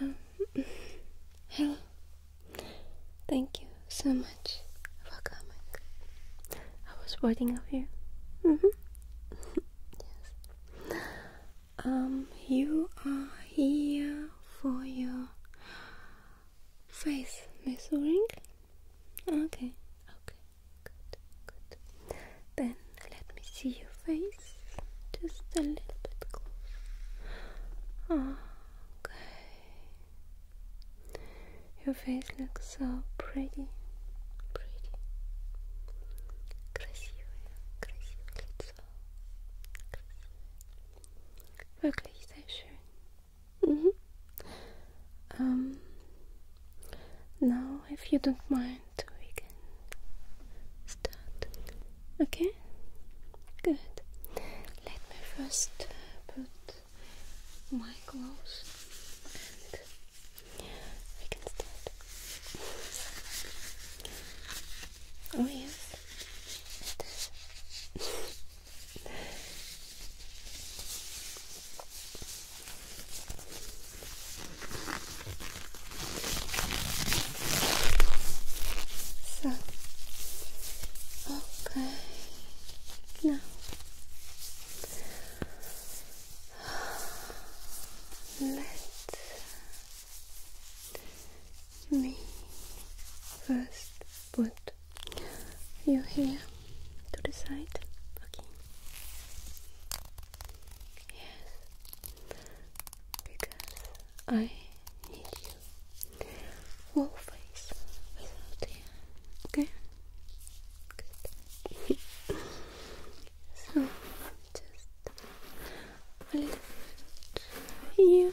Um, hello. Thank you so much for coming. I was waiting up here. -hmm. yes. Um, you are here for your face measuring. Okay, okay, good, good. Then let me see your face just a little bit close. Okay, your face looks so pretty, pretty, красивое, красивое лицо, красивое. Wirklich sehr schön. Mm-hmm. Um, now, if you don't mind, we can start. Okay. Good. Let me first uh, put my clothes, and we can start. Oh yes, So, okay, now let me first put you here to the side. Okay. Yes. Because I need you. Whole face without hair. Okay. Good. so just a little bit here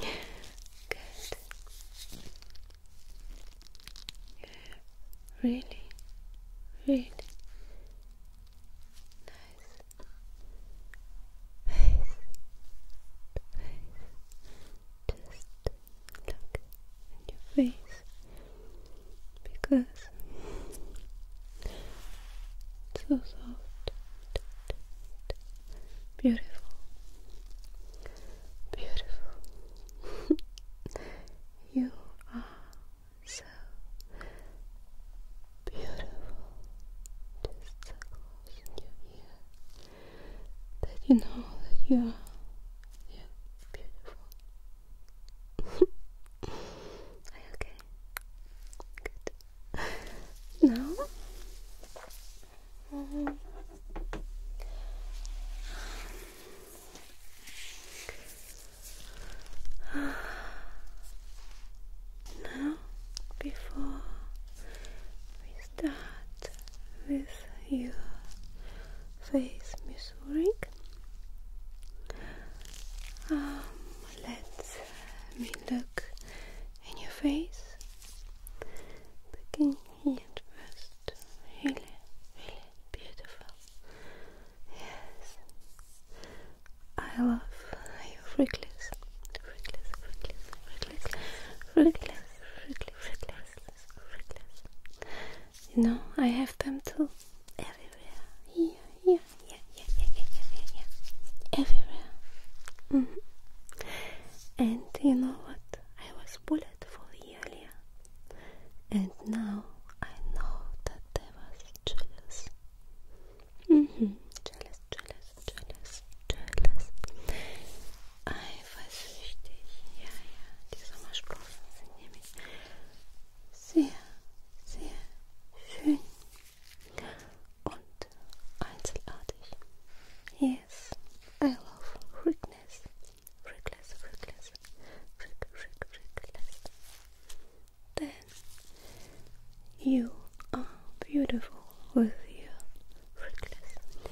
Good. Really, really nice. Face, face. Just look at your face because it's so soft, beautiful. Beautiful. you are so beautiful. Just so close in your that you know that you are beautiful. okay? Good. Now now, before we start with your face measuring, um, let me uh, look in your face. Begin and rest. Really, really beautiful. Yes. I love you, freakless. Freakless, freakless, freakless, freakless, freakless, freakless, freakless. You know, I have them too. Everywhere. Yeah, yeah, yeah, yeah, yeah, yeah, yeah, yeah. Everywhere. Mm -hmm. And you know what? I was bullied for the earlier, and now I know that I was mm-hmm. jealous. Jealous, jealous, jealous, jealous. Ich weiß richtig, ja, ja, die Sommersprossen sind nämlich sehr, sehr schön und einzigartig. Yes, I love reckless, reckless, reckless, freak, freak, freakless. Then you are beautiful with your reckless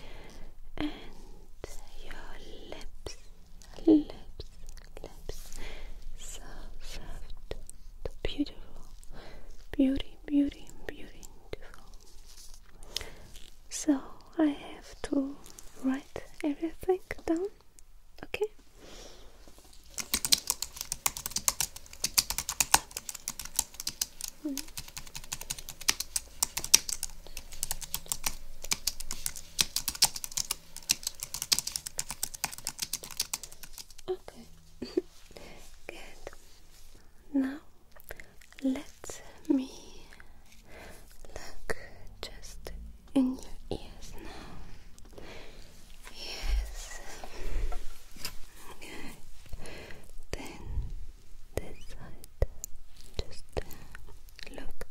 And your lips, lips, lips. So soft, beautiful. Beauty, beauty, beautiful. So I have to write everything down. Okay. Hmm. Okay. Good. Now let me look just in your ears now. Yes. Good. Then this side. Just look.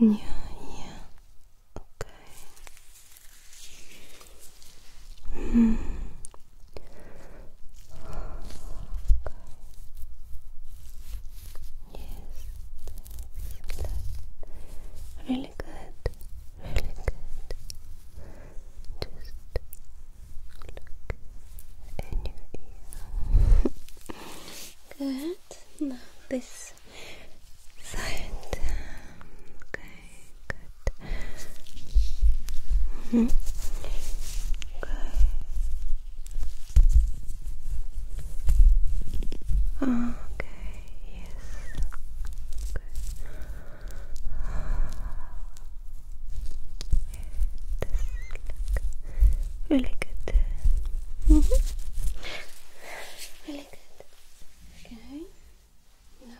Yeah, yeah. Okay. Mm. Yes, good. Really good, really good. Just look in your ear. good. Now this side. Okay, good. -hmm. Okay. Okay. Yes. Good. This really good. Really good. Okay. Now.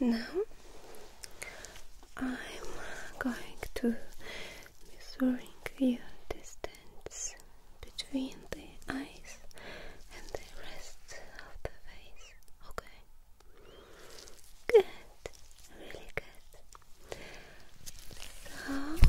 Now I'm going to measuring the distance between the eyes and the rest of the face. Okay. Good. Really good. So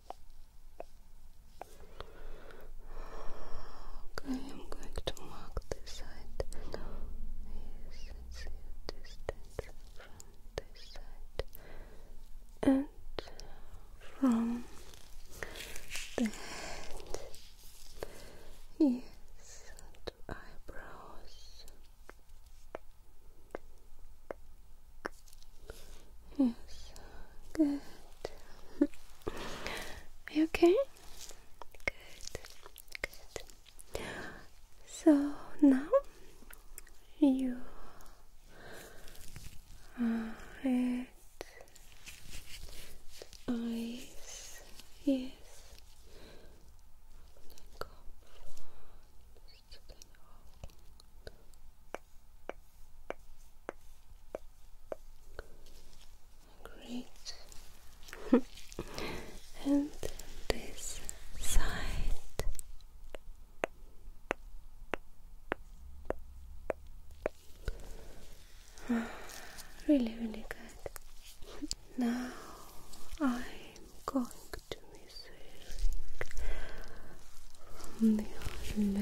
Okay, I'm going to mark this side now. Yes, it's your from this side and from the head. Yes, and eyebrows. Yes, good. Are you okay? Good, good. So now you are at eyes, yes. Great. and this side. really, really good. now I'm going to from your lips. Okay. Yes. Just relax. Okay,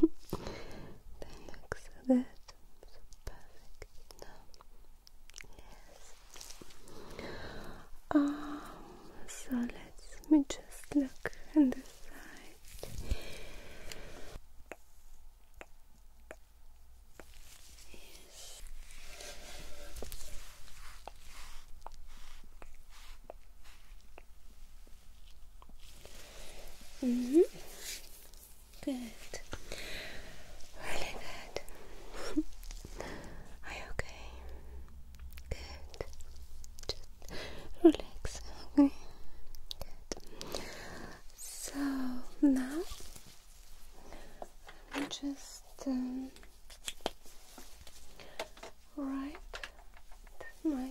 that looks um, so good, so perfect. yes. so let me just look on the side. Yes. -hmm. Good. Really good. Are you okay? Good. Just relax, okay? Good. So now let me just um, wipe my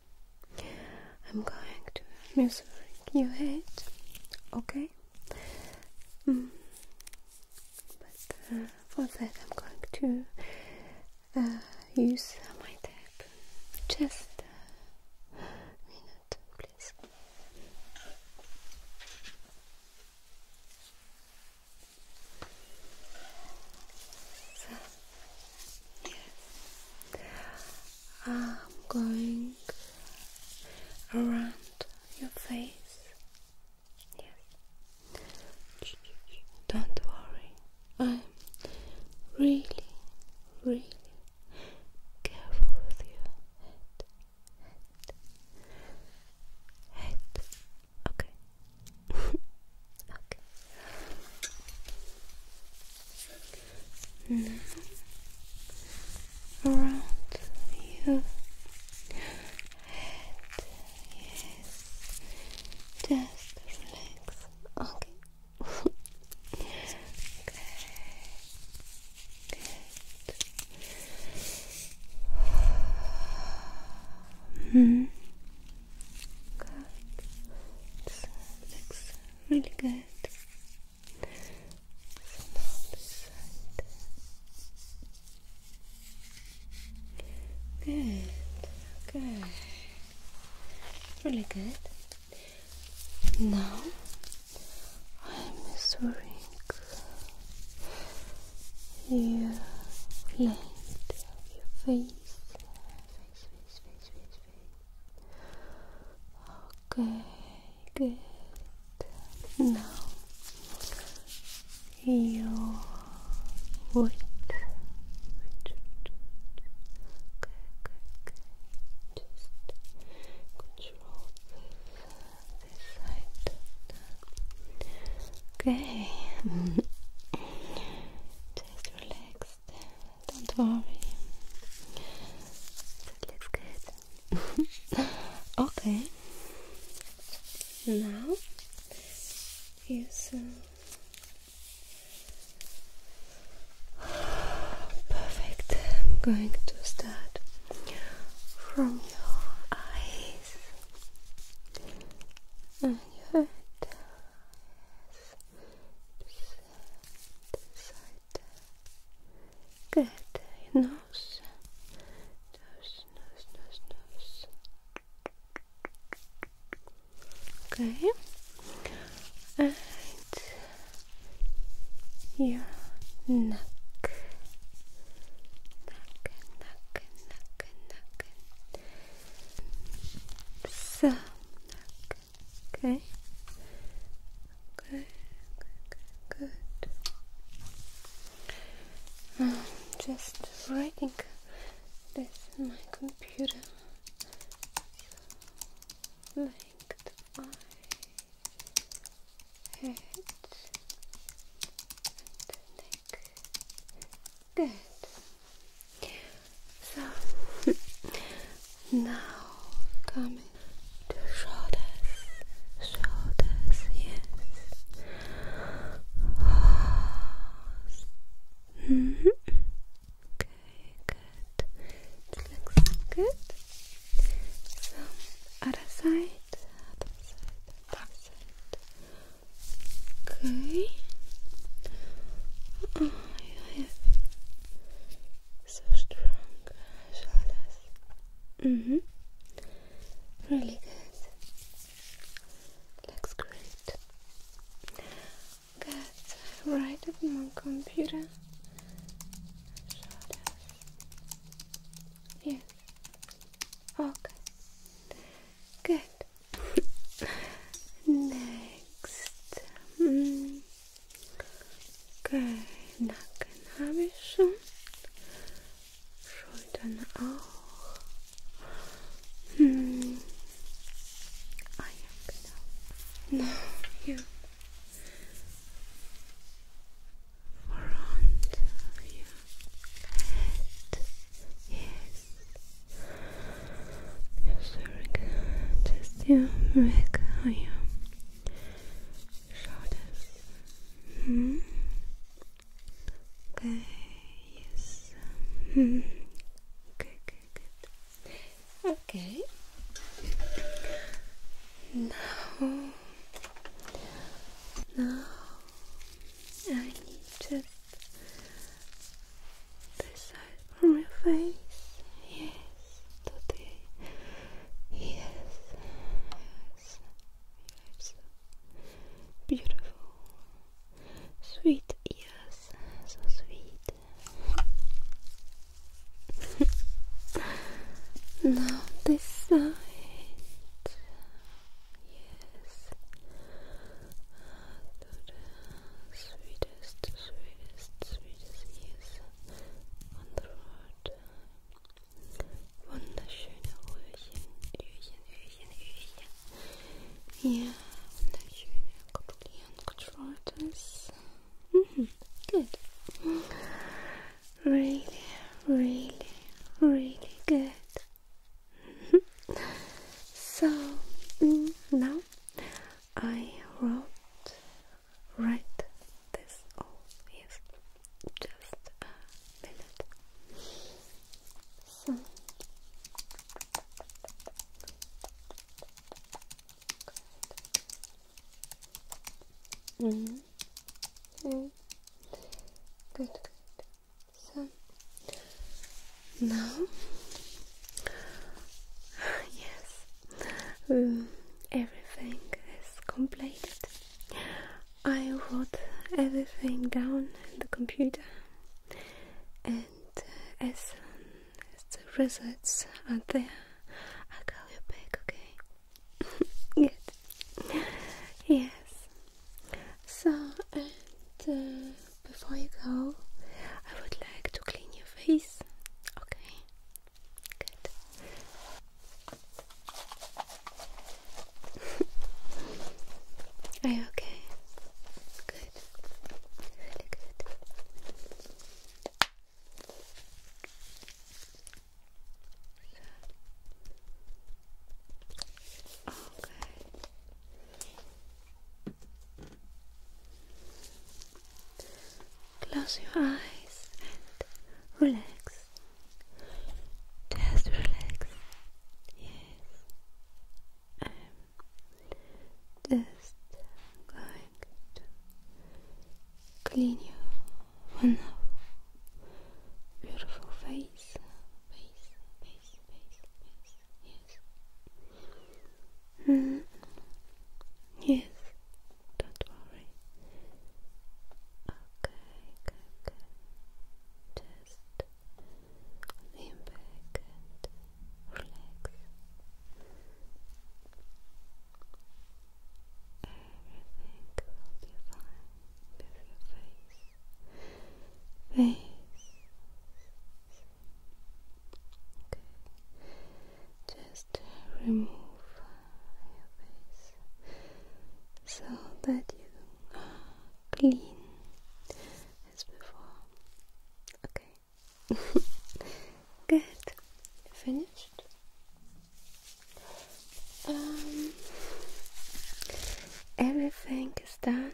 I'm going to massage your head, okay? Mm. But uh, for that, I'm going to uh, use my tap. Just a minute, please. yes. I'm going around your face. Yes. Don't worry. I'm really, really careful with your head. Head. Head. Okay. okay around your head, yes, just relax, okay. okay, good. Hmm. Good. This really good. So side. Good. Okay. Really good. Now I'm measuring your your face, Okay, good. Now your weight. Okay, okay, Just control uh, this side. Okay. Just relax. Don't worry. So let's okay. Now is perfect. I'm going to start from your eyes and your head side. Good. Your nose. Nose, nose, nose, nose. Okay. And your neck. Neck, neck, neck, neck. So, neck. Okay. Good, good, um, just writing this in my computer. So, like I head and neck. Good. So now coming to shoulders, shoulders, yes. -hmm. Okay, good. looks good. So other side, other side, other side. Okay. Oh, you so strong shoulders. Mm hmm. Really good. Looks great. Good. Right on my computer. Shoulders. Okay. Good. Next. Mm. Okay, Nacken habe ich schon. Schultern auch. Hm. Ah ja, genau. Now you front of your head. Yes. Yes, very good. Just your Oh yeah. Hmm. Okay, yes. Mm Okay, Okay. Now, now I need just this side from your face. Yes, today. Yes, yes, yes. Beautiful, sweet. Yes, so sweet. now this side. Yes. The sweetest, sweetest, sweetest, yes und Worte. Wunderschöne Öhrchen, Öhrchen, Öhrchen, Öhrchen. Ja, wunderschöne, kontrollierend controlltes. Mhm, good. Really, really, really good. so, now I wrote Right. this all yes just a minute so mm-hmm. good. Mm good good so now yes um, everything is completed. I wrote everything down in the computer, and as, uh, as the results are there, I'll call you back, okay? Yes. So, uh, before you go, I would like to clean your face, okay? Good. Are you okay? Good. Really good. Okay. Close your eyes and relax. Just relax. Yes. I'm just going to clean you for Beautiful face, face, face, face. Yes. Hmm. Yes, don't worry. okay, okay. Just lean back and relax. Everything will be fine with your face. Face. Okay just remove your face so that you are clean as before. Okay. Good. Finished. Um, everything is done.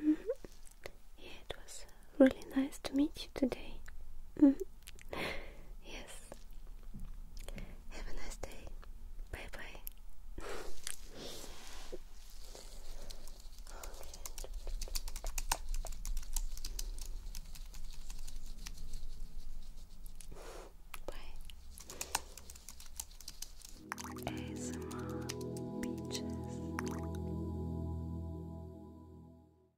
Mm-hmm. it was really nice to meet you today. Mm-hmm. Yes. Have a nice day. Bye bye. Bye. ASMR Beaches.